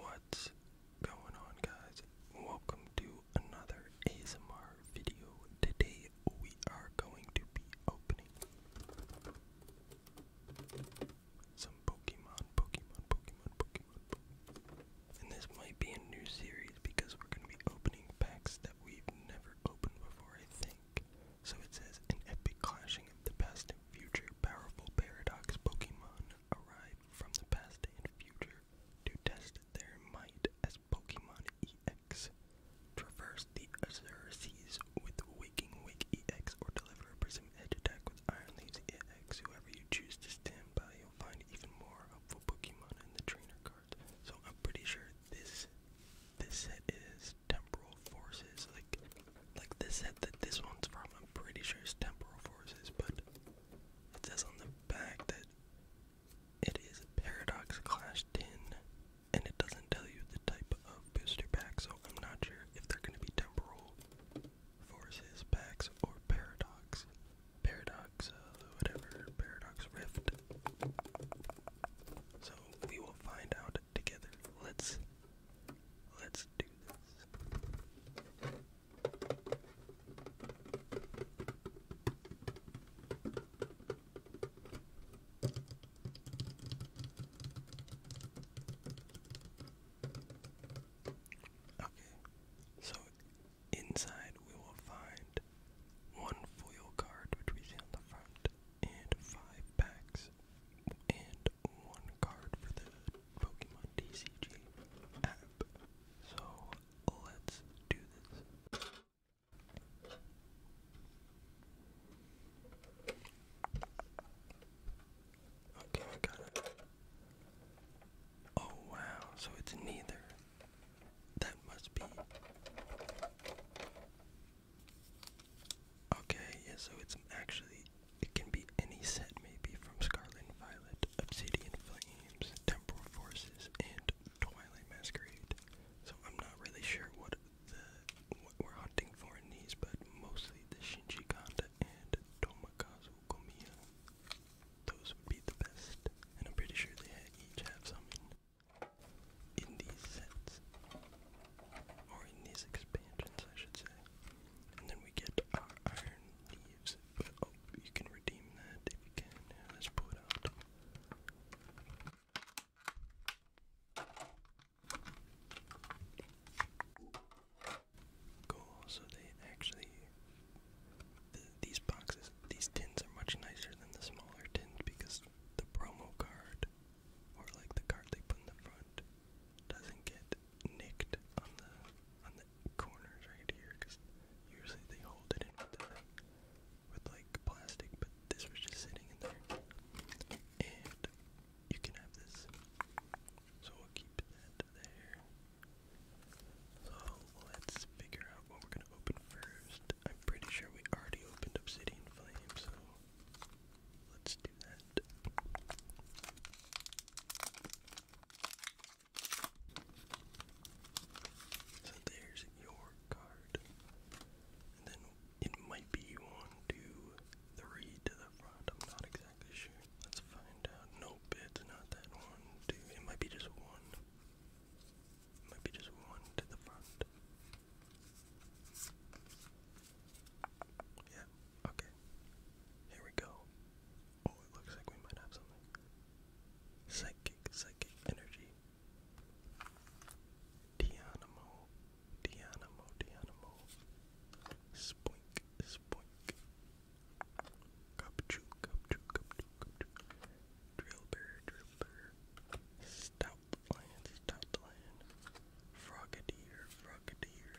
What's going on guys? Welcome to another ASMR video. Today we are going to be opening some Pokemon, Pokemon, Pokemon, Pokemon, And this might be a new series because we're going to be opening packs that we've never opened before, I think. So it says an epic clashing of the past and future powerful paradox Pokemon arrived from the past and future to test their might as Pokemon EX. Traverse the Azure Seas with Waking Wake EX or deliver a Prism Edge attack with Iron Leaves EX. Whoever you choose to stand by, you'll find even more helpful Pokemon in the trainer cards. So I'm pretty sure this this set is Temporal Forces. Like like this head that this one's from, I'm pretty sure it's temporal forces, but it says on the back that it is Paradox clashed in, and it doesn't tell you the type of booster pack, so I'm not sure if they're going to be temporal forces packs or Paradox. Paradox, uh, whatever, Paradox Rift. So we will find out together. Let's Let's do this. Okay, so inside we will find one foil card which we see on the front, and five packs and one card for the Pokemon TCG app. So let's do this. Okay, got it. Oh wow, so it's neither. That must be. Okay, yeah, so it's actually, it can be any set maybe from Scarlet Violet, Obsidian Flames, Temporal Forces, and Twilight Masquerade. So I'm not really sure what the what we're hunting for in these, but mostly the Shinji Kanda and Tomakazu Komiya. Those would be the best, and I'm pretty sure they each have something in these sets or in these expansions, I should say. And then we get our iron leaves. But oh, you can redeem that if you can. let's pull it out. Cool. So they actually, these boxes, these tins are much nicer than the smaller tins because the promo card or like the card they put in the front doesn't get nicked on the on the corners right here because usually they hold it in with like plastic, but this was just sitting in there. And you can have this, so we'll keep that there. So let's figure out what we're gonna open first. I'm pretty sure we already opened Obsidian Flame, so let's do that. So there's your card. And then it might be one, two, three to the front. I'm not exactly sure. Let's find out. Nope, it's not that one, two. It might be just one. Maybe just one to the front. Yeah, okay. Here we go. Oh, it looks like we might have something. Psychic, psychic energy. Dianamo, Dianamo, Dianamo. Spoink, spoink. Cupchoo, cupchoo, cupchoo, cupchoo. Drill bear, Stout, lands, top Frogadier, Frogadier,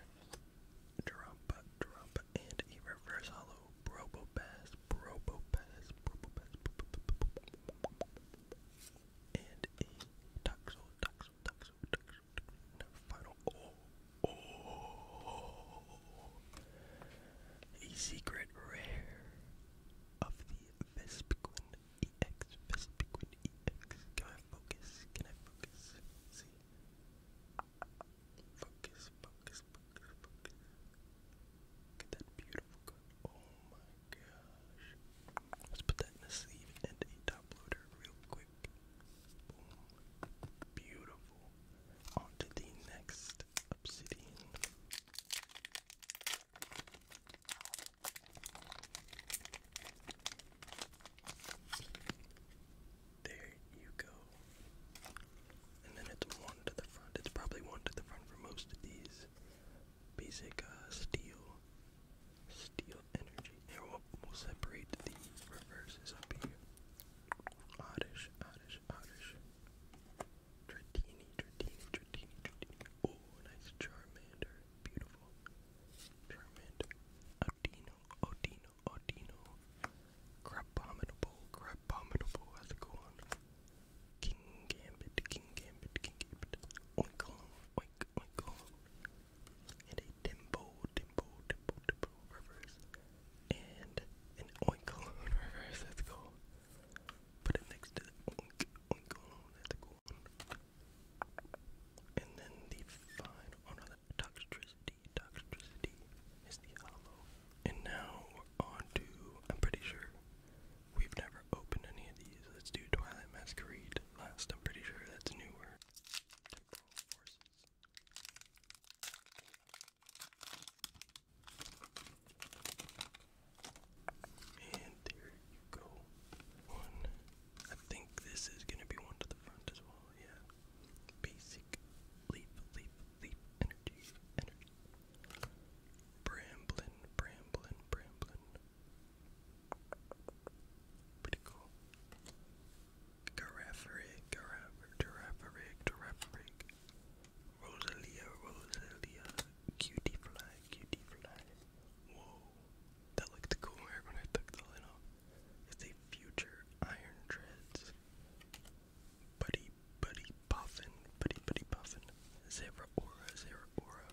Drumpa, Drumpa, and a reverse hollow, Brobopass, Brobopass, Brobopass, and a Toxel, Toxel, Toxel, Toxel, final, oh, secret rare of the Vespiquen EX, Vespiquen EX. Can I focus? Can I focus? See? Focus, focus, focus, focus. Look at that beautiful card. Oh my gosh. Let's put that in a sleeve and a top loader real quick. Beautiful. On to the next obsidian. There you go. And then it's one to the front. It's probably one to the front for most of these basic uh, steel, steel energy. Here will separate the reverses up here. Oddish, oddish, oddish. Dratini, Dratini, Dratini, Dratini. Oh, nice Charmander. Beautiful. Charmander. Odino, Odino, Odino. Crabominable, Crabominable. How's it going? King Gambit, King Gambit, King Gambit. Oink on, oink, oink on. And a Dimbo, Dimbo, Dimbo, Dimbo reverse. And an reverse. Let's go. Put it next to the And then the fine oh no, the is the hollow. And now we're on I'm pretty sure we've never opened any of these. Let's do Twilight Masquerade last. I'm pretty sure that's a new word. And there you go. One. I think this is gonna be one to the front as well, yeah. Basic leaf, leaf, leaf energy, energy. Bramblin, bramblin, bramblin. Pretty cool. Giraffe rig, giraffe, giraffe rig, giraffe rig. Rosalia, Rosalia, cutie fly, cutie fly. Whoa, that looked cooler when I took the lid off. It's a future Iron Dreads. Buddy, buddy, puffin, buddy, buddy, puffin. Zebra aura, zebra aura.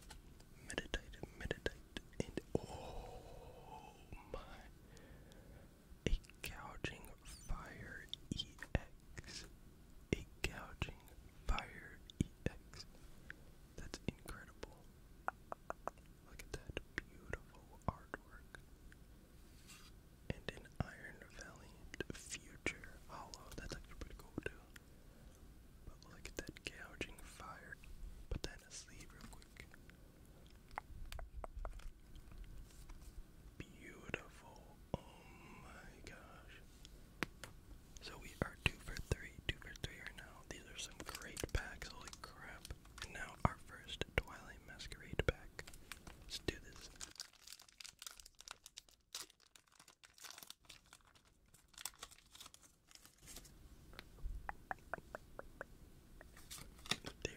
Meditite, meditite, and oh my a gouging fire EX. A gouging fire EX. That's incredible. Look at that beautiful artwork. And an Iron Valiant Future Hollow. That's actually pretty cool too. But look at that gouging fire. Put that in a sleeve real quick. Beautiful. Oh my gosh. So we are two for three, two for three right now. These are some great packs. Holy crap. And now our first Twilight Masquerade pack. Let's do this. There,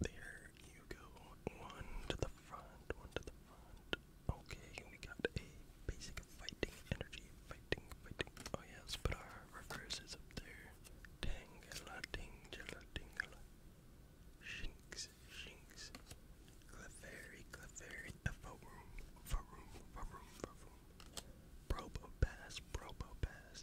there you go. One to the front, one to the front. Okay, we got a basic fighting energy, fighting, fighting. Oh yes, but our reverse is up there. Tangela, tingela, tingela. Shinx, shinx. Clefairy, Clefairy, Faroom, Faroom, Faroom, Faroom. Probopass, Probopass.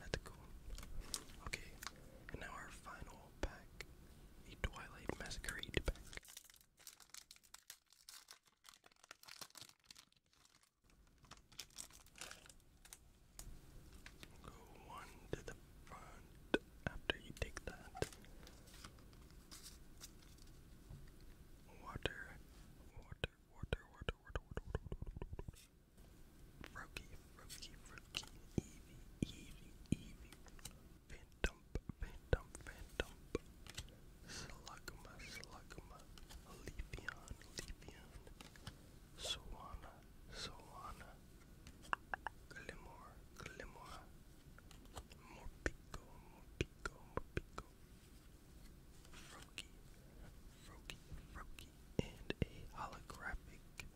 That's cool. Okay, and now our final pack, the Twilight Masquerade pack. Go one to the front after you take that. Water, water, water, water, water, water, water, water, water, water. Froakie, Froakie, Froakie, Eevee, Eevee, Eevee, Phantom, Phantom, Phantom, Slugma, Slugma, Leafeon, Leafeon, Swana, Swana, Glimor, Glimora, Morpico, Morpico, Morpico, Froakie, Froakie, Froakie, and a holographic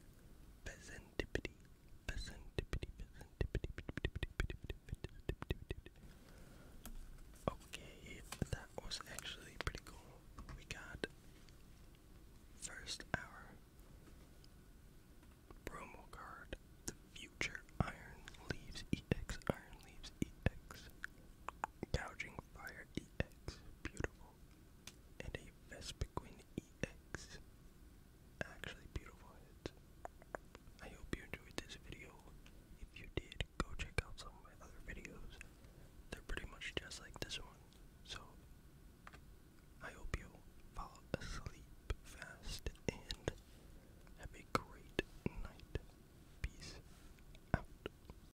Pheasantipity, Pheasantipity, Pheasantipity, Okay, that was actually pretty cool. We got first our promo card, the future Iron Leaves EX, Iron Leaves EX, Gouging Fire EX, beautiful and a Vespiquen EX. Actually beautiful I hope you enjoyed this video. If you did, go check out some of my other videos. They're pretty much just like this one. So, I hope you fall asleep fast and have a great night. Peace out.